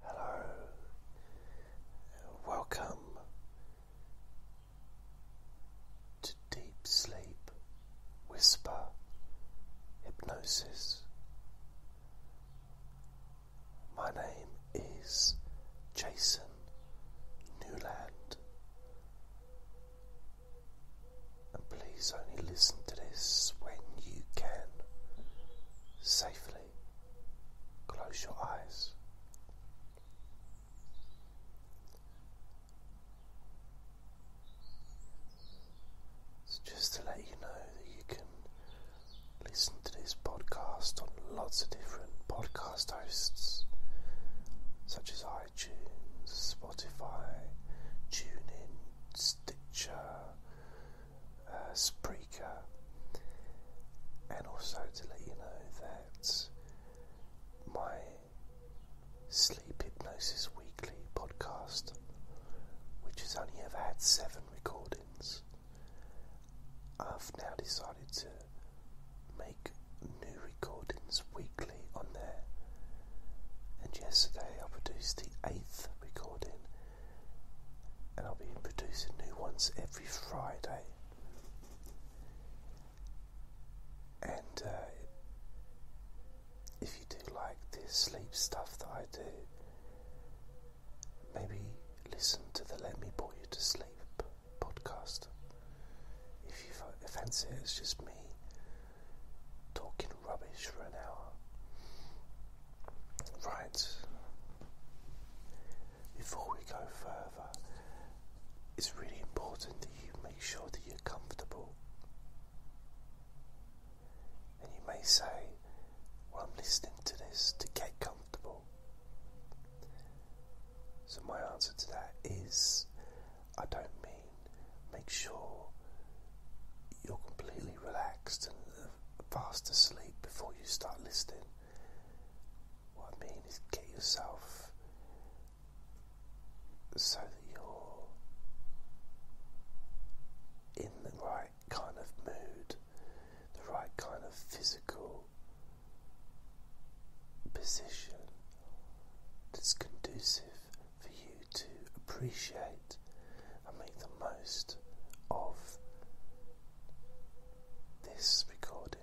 Hello, welcome to Deep Sleep Whisper Hypnosis. My name is Jason Newland, and please only listen to this when you can safely. Close your eyes. just to let you know that you can listen to this podcast on lots of different podcast hosts, such as iTunes, Spotify, TuneIn, Stitcher, uh, and also to let you know that my Sleep Hypnosis Weekly podcast, which has only ever had seven recordings, I've now decided to make new recordings weekly on there. And yesterday I produced the eighth recording and I'll be producing new ones every Friday. And uh, if you do like the sleep stuff that I do, maybe listen to the Let Me Put You to Sleep podcast. If you fancy it, it's just me talking rubbish for an hour. Right. Before we go further, it's really important that you make sure that you're comfortable. And you may say, Well, I'm listening to this to get comfortable. So, my answer to that is I don't mean make sure you're completely relaxed relaxed and uh, fast asleep before you start listening. What I mean is get yourself so that you're in the right kind of mood, the right kind of physical position that's conducive for you to appreciate light and make the most of this recording.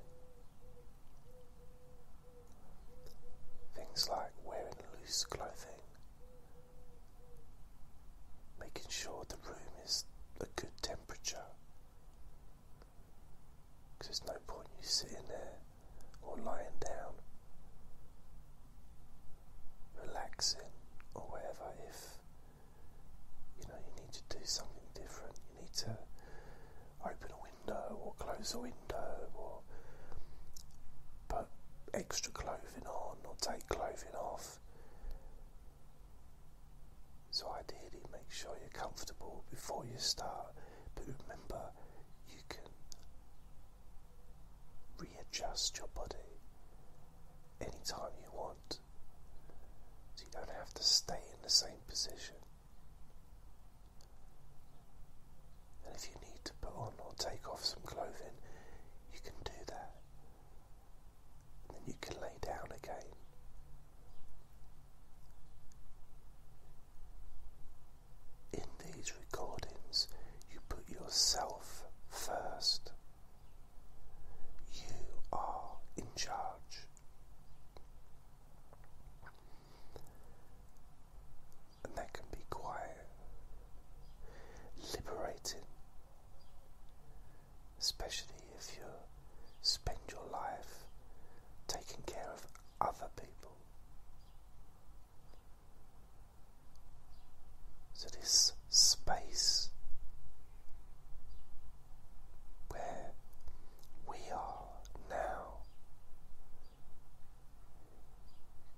Things like wearing loose clothing, making sure the room is a good temperature, because there's no point you sitting there or lying down, relaxing or whatever if you know, you need to do something different. You need to open a window or close a window or put extra clothing on or take clothing off. So, ideally, make sure you're comfortable before you start, but remember you can readjust your body anytime you want so you don't have to stay in the same position. And if you need to put on or take off some clothing, you can do that. And then you can lay down again. In these recordings, you put yourself first. You are in charge. And that can be quiet, liberating, especially if you spend your life taking care of other people. So, this space where we are now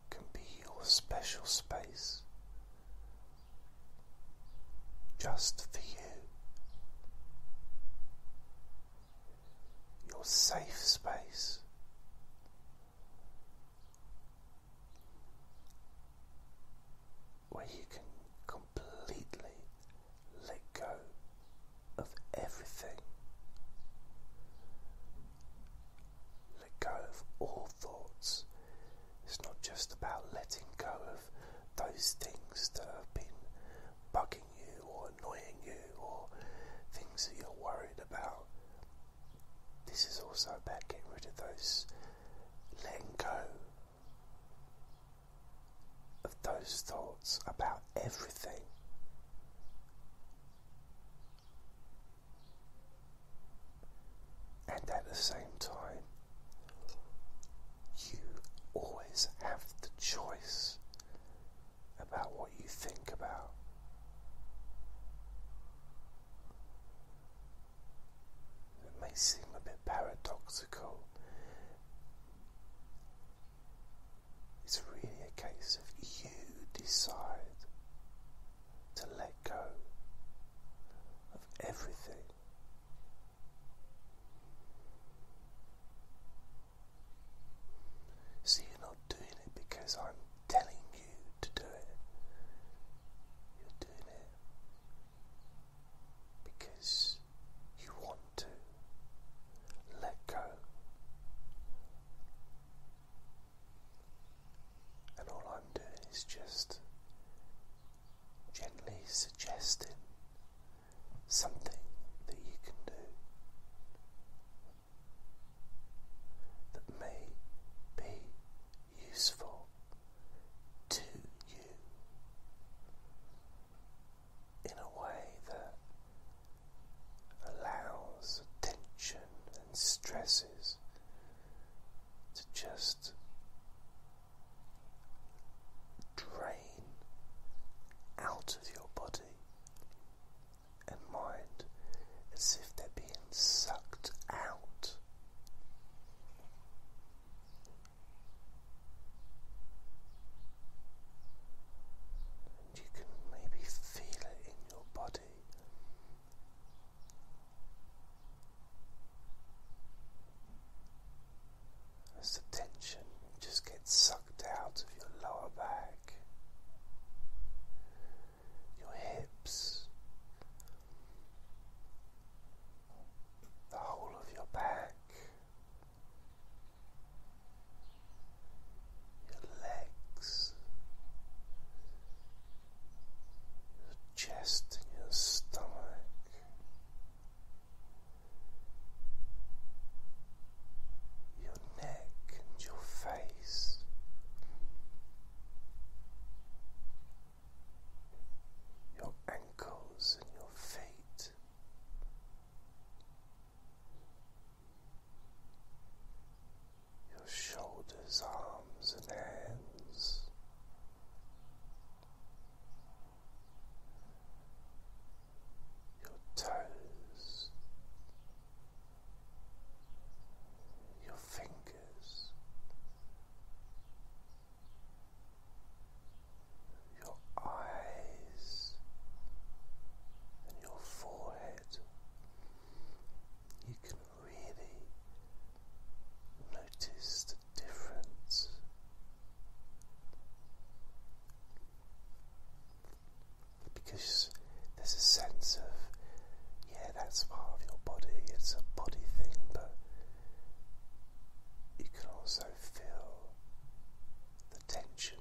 can be your special space just for you, your safe space where you can completely let go of everything. Let go of all thoughts. It's not just about letting go of those things that have been bugging you or annoying you or things that you're worried about. This is also about getting rid of those, letting go of those thoughts about everything. And at the same time, you always have the choice about what you think about. It may seem a bit paradoxical. It's really a case of you decide to let go of everything. See, you're not doing it because I'm telling you to do it. You're doing it because you want to let go. And all I'm doing is just gently suggesting something that you can do that may be useful to you in a way that allows tension and stresses to just drain out of your body and mind as if they're being sucked out you can maybe feel it in your body. As the tension just gets sucked out of your lower back, your hips, the whole of your back, your legs, your chest, and your stomach. Your neck and your face, your ankles and your feet. Your shoulders, arms, and hands, your toes, your fingers, your eyes and your forehead. You can really notice the difference. Because there's a sense of, yeah, that's part of your body, it's a body thing, but you can also feel the tension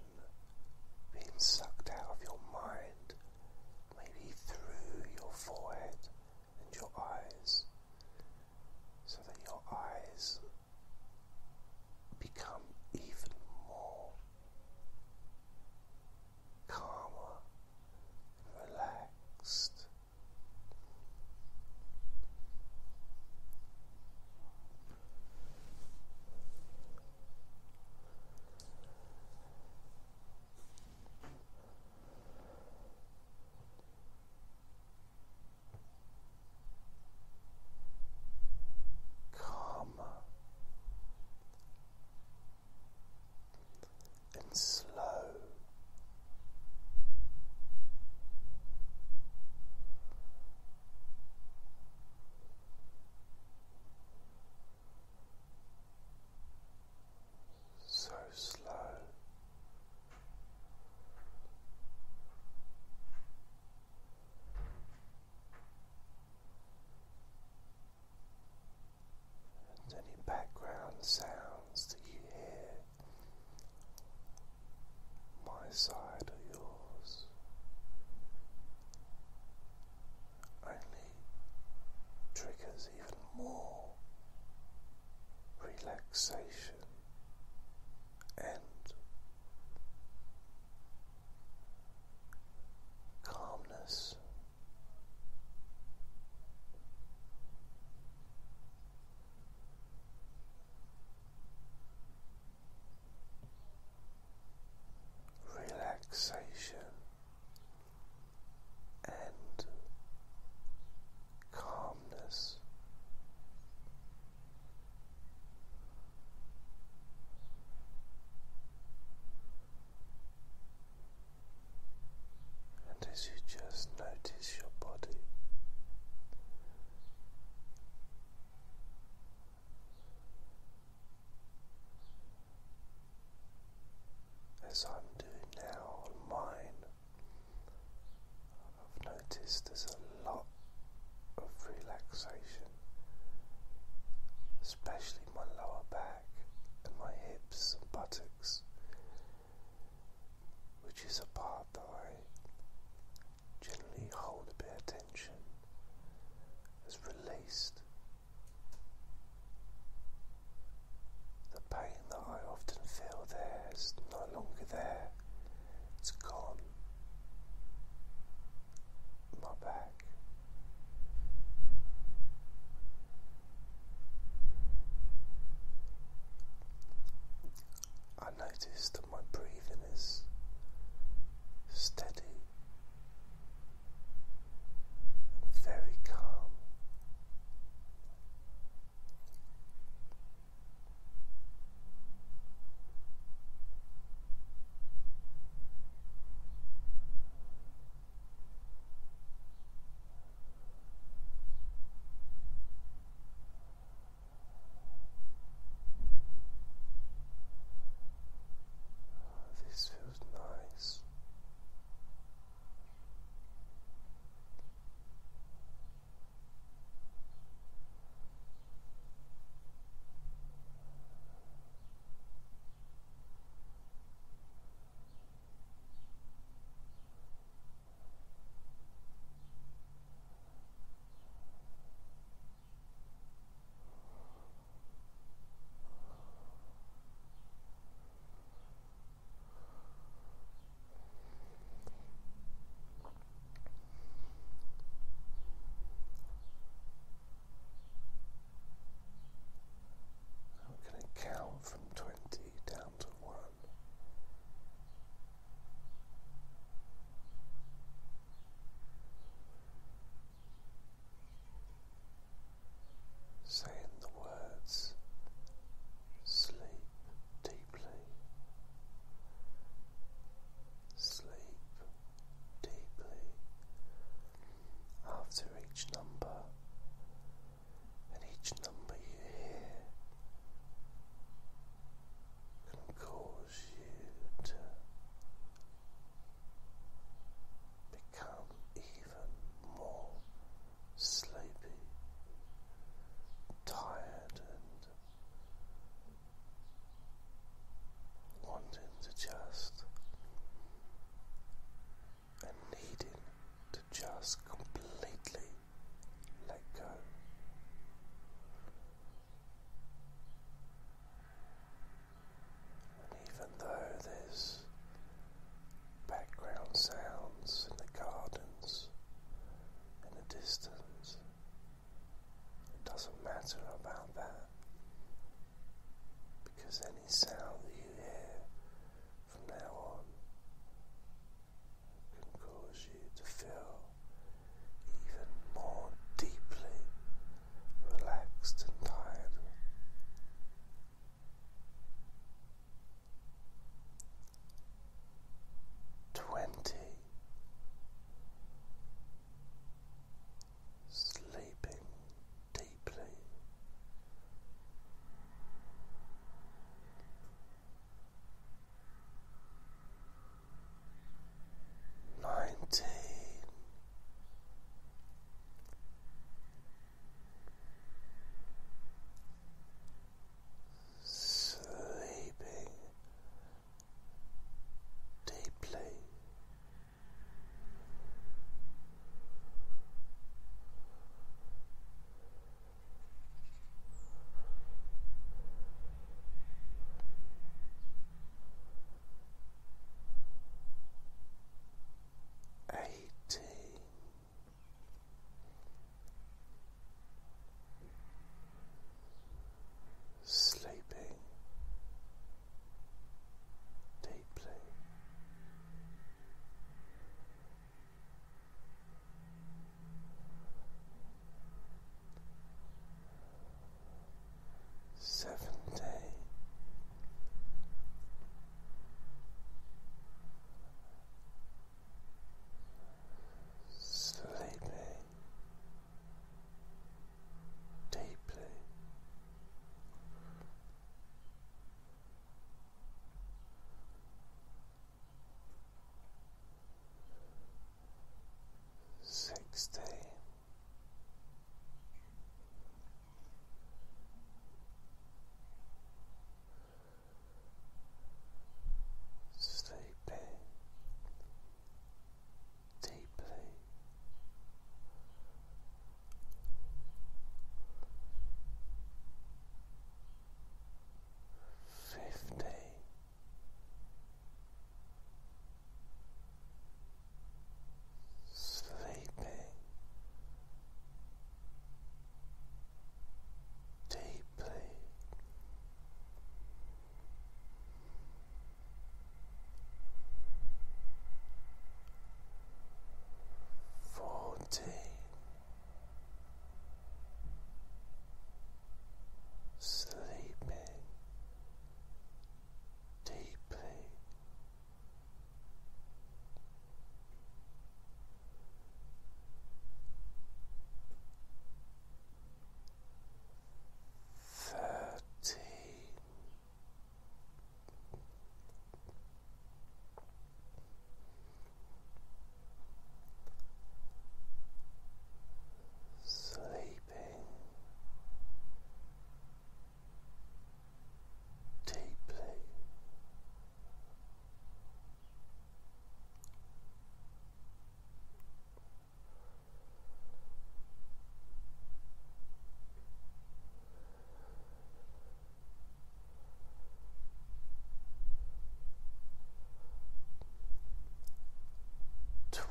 being sucked out of your mind, maybe through your forehead and your eyes, so that your eyes become even more calmer relaxed. Come and slow. So slow and any background sounds that you hear, my side or yours, only triggers even more relaxation and calmness relaxation and calmness. And as you just notice your body, as I'm doing now on mine, I've noticed there's a lot of relaxation, especially my lower back and my hips and buttocks which is a part that I generally hold a bit of tension, has released the pain that I often feel there is no longer there, it's gone. My back. I notice that my breathing is steady and very calm. This feels nice. I'm going to count from 20 down to 1. Saying the words sleep deeply, sleep deeply. After each number, and each number you hear can cause you to become even more sleepy, tired, and wanting to just and needing to just completely let go. And even though there's background sounds in the gardens in the distance, it doesn't matter about that because any sound you hear from now on can cause you to feel even more deeply relaxed and tired. Twenty sleeping deeply. Nineteen. Sleeping deeply. Eighteen. Sleeping deeply seventy sleepy deeply sixteen. Sleeping deeply, fifty. Sleeping deeply, fourteen, sleeping deeply. Thirteen sleeping deeply twelve.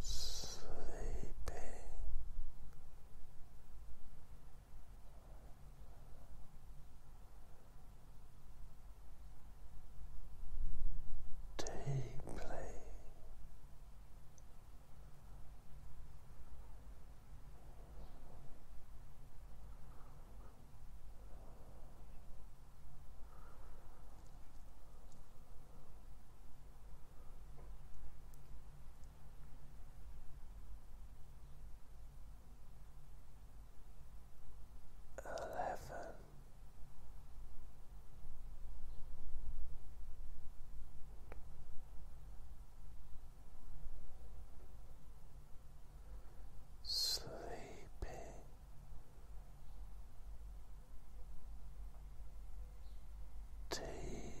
Sleeping deeply eleven Sleeping. Deeply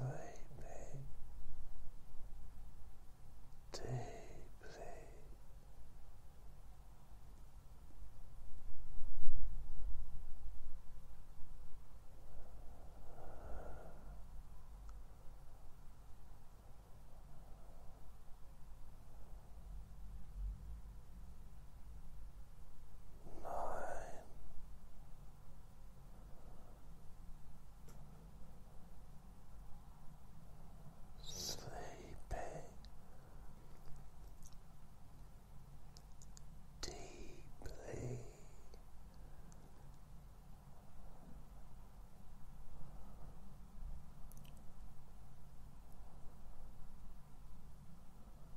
sleeping deeply nine, sleeping. Deeply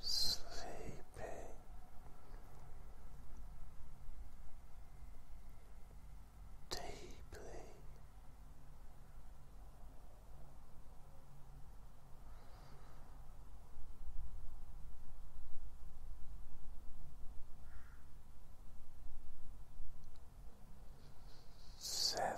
sleeping. Deeply seven.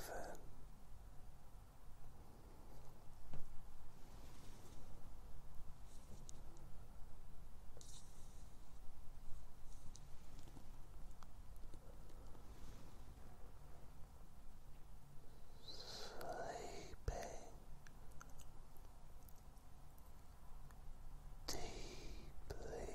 Sleeping deeply.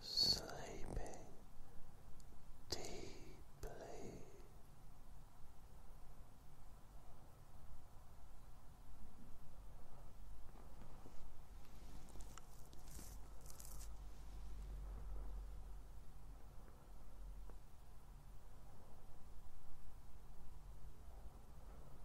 sleeping deeply.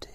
deeply.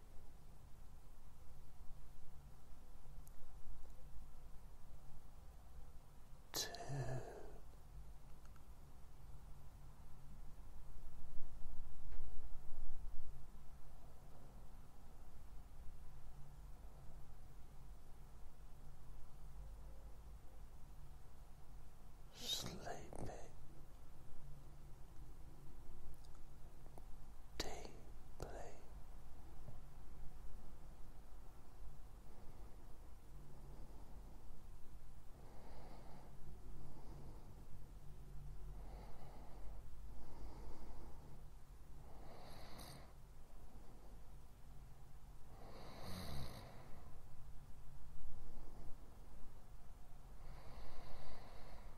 Two. Sleepy deeply. Deeply.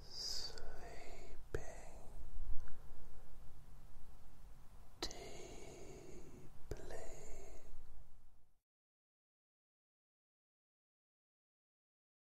Sleeping deeply.